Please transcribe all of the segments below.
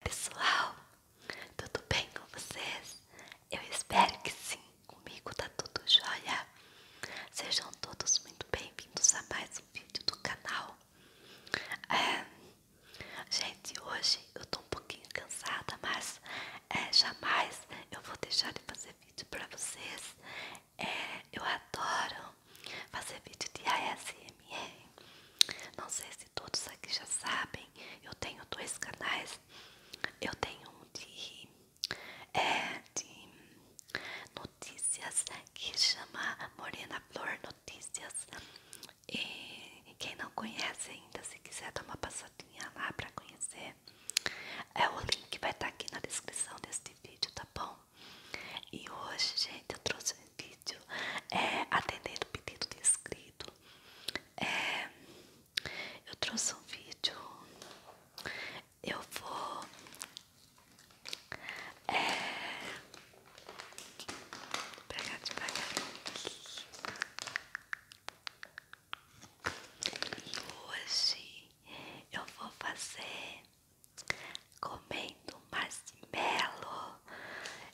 pessoal, tudo bem com vocês? Eu espero que sim, comigo tá tudo jóia. Sejam todos muito bem-vindos a mais um vídeo do canal. É, gente, hoje eu tô um pouquinho cansada, mas é, jamais eu vou deixar de fazer vídeo pra vocês. É, eu adoro fazer vídeo de ASMR. Não sei se todos aqui já sabem, eu tenho dois canais. Eu tenho um é, de, notícias que chama Morena Flor Notícias. E quem não conhece ainda, se quiser dar uma passadinha lá para conhecer, é, o link vai estar tá aqui na descrição deste vídeo, tá bom? E hoje, gente, eu trouxe vídeo, é, atender o pedido de inscrito. É, eu trouxe um vídeo, eu vou. É, pegar devagar aqui. E hoje eu vou fazer comendo marshmallow.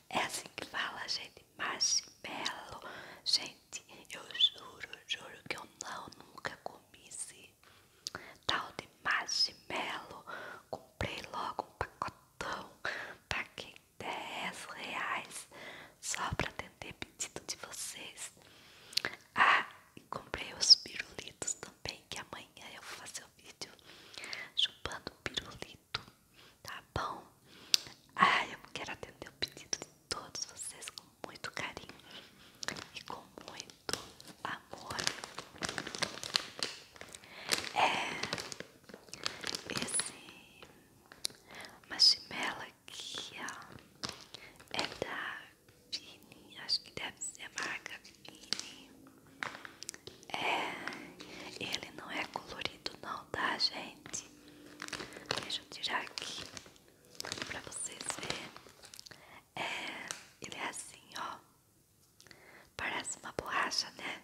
É assim que fala, gente marshmallow. Gente, eu juro, juro que eu não nunca comi esse tal de marshmallow. Comprei logo um pacotão, quem 10 reais só pra atender pedido de vocês. Ah, e comprei os pirulitos também, que amanhã eu vou fazer o um vídeo chupando pirulito tá bom? Ai, eu quero atender o pedido de todos vocês com muito carinho e com muito amor. É esse marshmallow aqui, é da Vini, acho que deve ser a marca Vini. É, ele não é colorido não, tá, gente? Deixa eu tirar aqui pra vocês verem. É, ele é assim, ó. Parece uma borracha, né?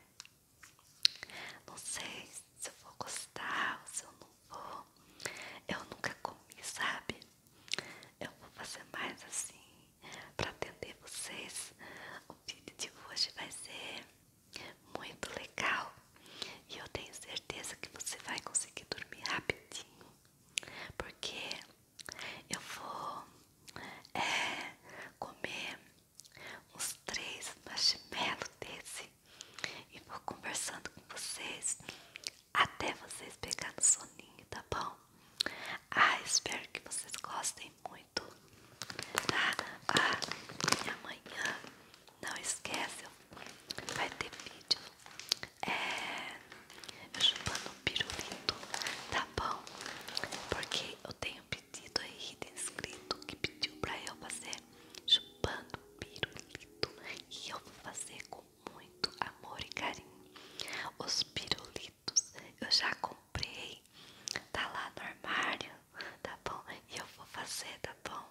Não sei se eu vou gostar ou se eu não vou. Eu nunca comi, sabe? Eu vou fazer mais assim pra atender vocês. O vídeo de hoje vai ser muito legal. E eu tenho certeza que você vai conseguir dormir rapidinho. Porque eu vou é, comer uns três marshmallows desse e vou conversando com vocês até vocês pegar no soninho, tá bom? Ah, espero que vocês gostem muito. tá ah, amanhã, ah, não esquece vai ter vídeo. É. Eu chupando um pirulito, tá bom? Porque eu tenho pedido aí de inscrito que pediu pra eu fazer chupando pirulito. E eu vou fazer com muito amor e carinho. Os pirulitos eu já comprei, tá lá no armário tá bom? E eu vou fazer, tá bom?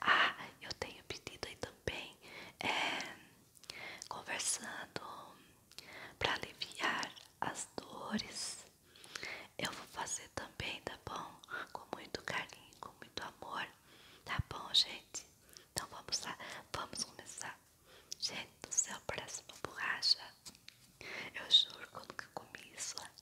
Ah, eu tenho pedido aí também, é, conversando para aliviar as dores. Eu vou fazer também, tá bom? Com muito carinho, com muito amor, tá bom, gente? Então vamos lá, vamos começar. Gente do céu, parece uma borracha. Eu juro que eu nunca comi isso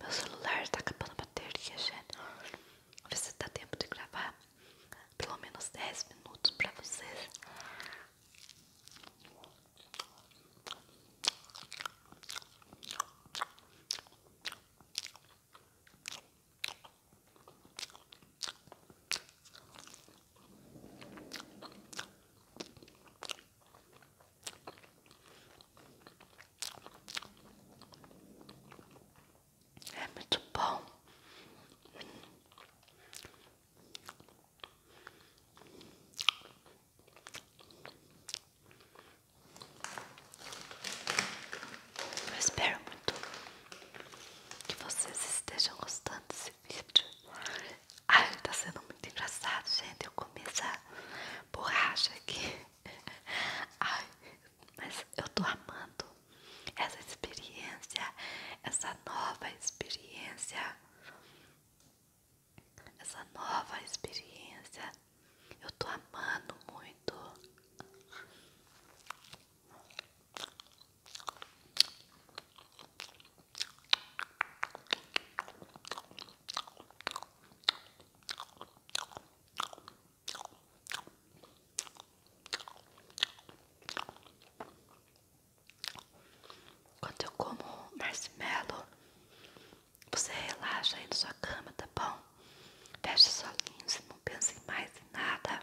Meu celular tá acabando a bateria, gente. Vou ver se dá tempo de gravar pelo menos 10 minutos pra vocês. É muito bom. Eu espero muito que vocês estejam gostando desse vídeo. Ai, tá sendo muito engraçado, gente. Eu começo essa borracha aqui. Ai, mas eu tô amando essa experiência, essa nova experiência. Essa nova experiência. Eu tô amando muito. Quando eu como marshmallow, você relaxa aí na sua cama, tá bom? Fecha os olhinhos e não pense mais em nada.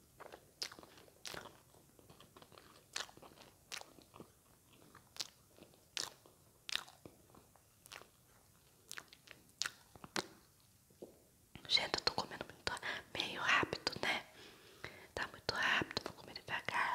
Gente, eu tô comendo muito, meio rápido, né? Tá muito rápido, tô comendo devagar.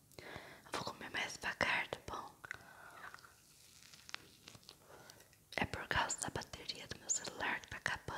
vou comer mais devagar, tá bom? É por causa da bateria do meu celular que tá acabando.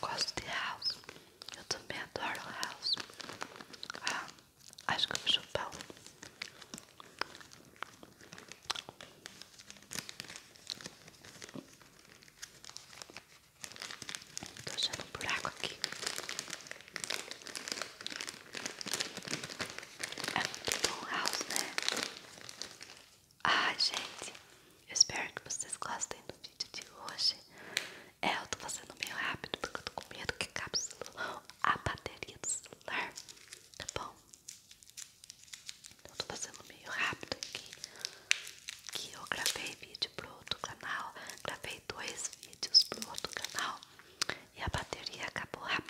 Gosto de house. Eu também adoro house. Ah, acho que eu vou chupar Estou Tô achando um buraco aqui. É muito bom house, né? Ah, gente, eu espero que vocês gostem do vídeo de hoje. É, eu tô fazendo meio rápido porque eu tô com medo que acabe a bateria do celular, tá bom? Eu tô fazendo meio rápido aqui, que eu gravei vídeo pro outro canal, gravei dois vídeos pro outro canal e a bateria acabou rápido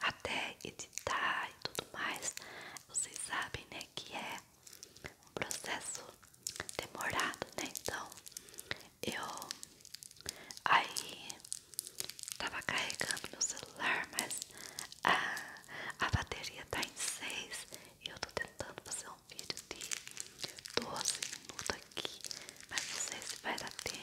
até editar e tudo mais, vocês sabem, né, que é um processo demorado, né? Então, eu aí tava carregando meu celular, mas a, a bateria tá em 6 eu tô tentando fazer um vídeo de 12 minutos aqui, mas não sei se vai dar tempo.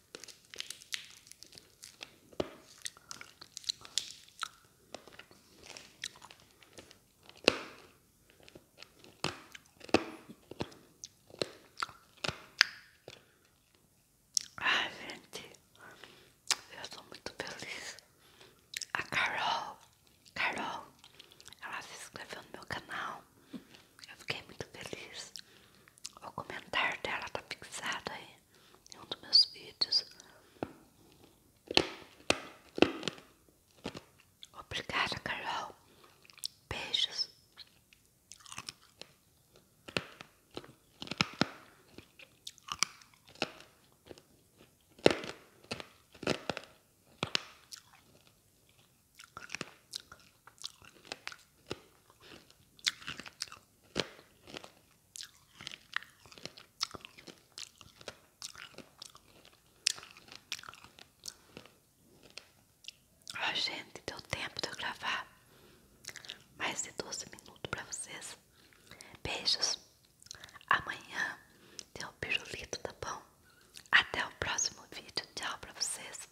Ai, gente, eu sou muito feliz. A Carol, Carol, ela se inscreveu no meu canal. Eu fiquei muito feliz. O comentário dela tá fixado aí em um dos meus vídeos. Obrigada, Carol. Beijos. Ah, gente, deu tempo de eu gravar mais de 12 minutos para vocês. Beijos. Amanhã tem o pirulito, tá bom? Até o próximo vídeo. Tchau para vocês.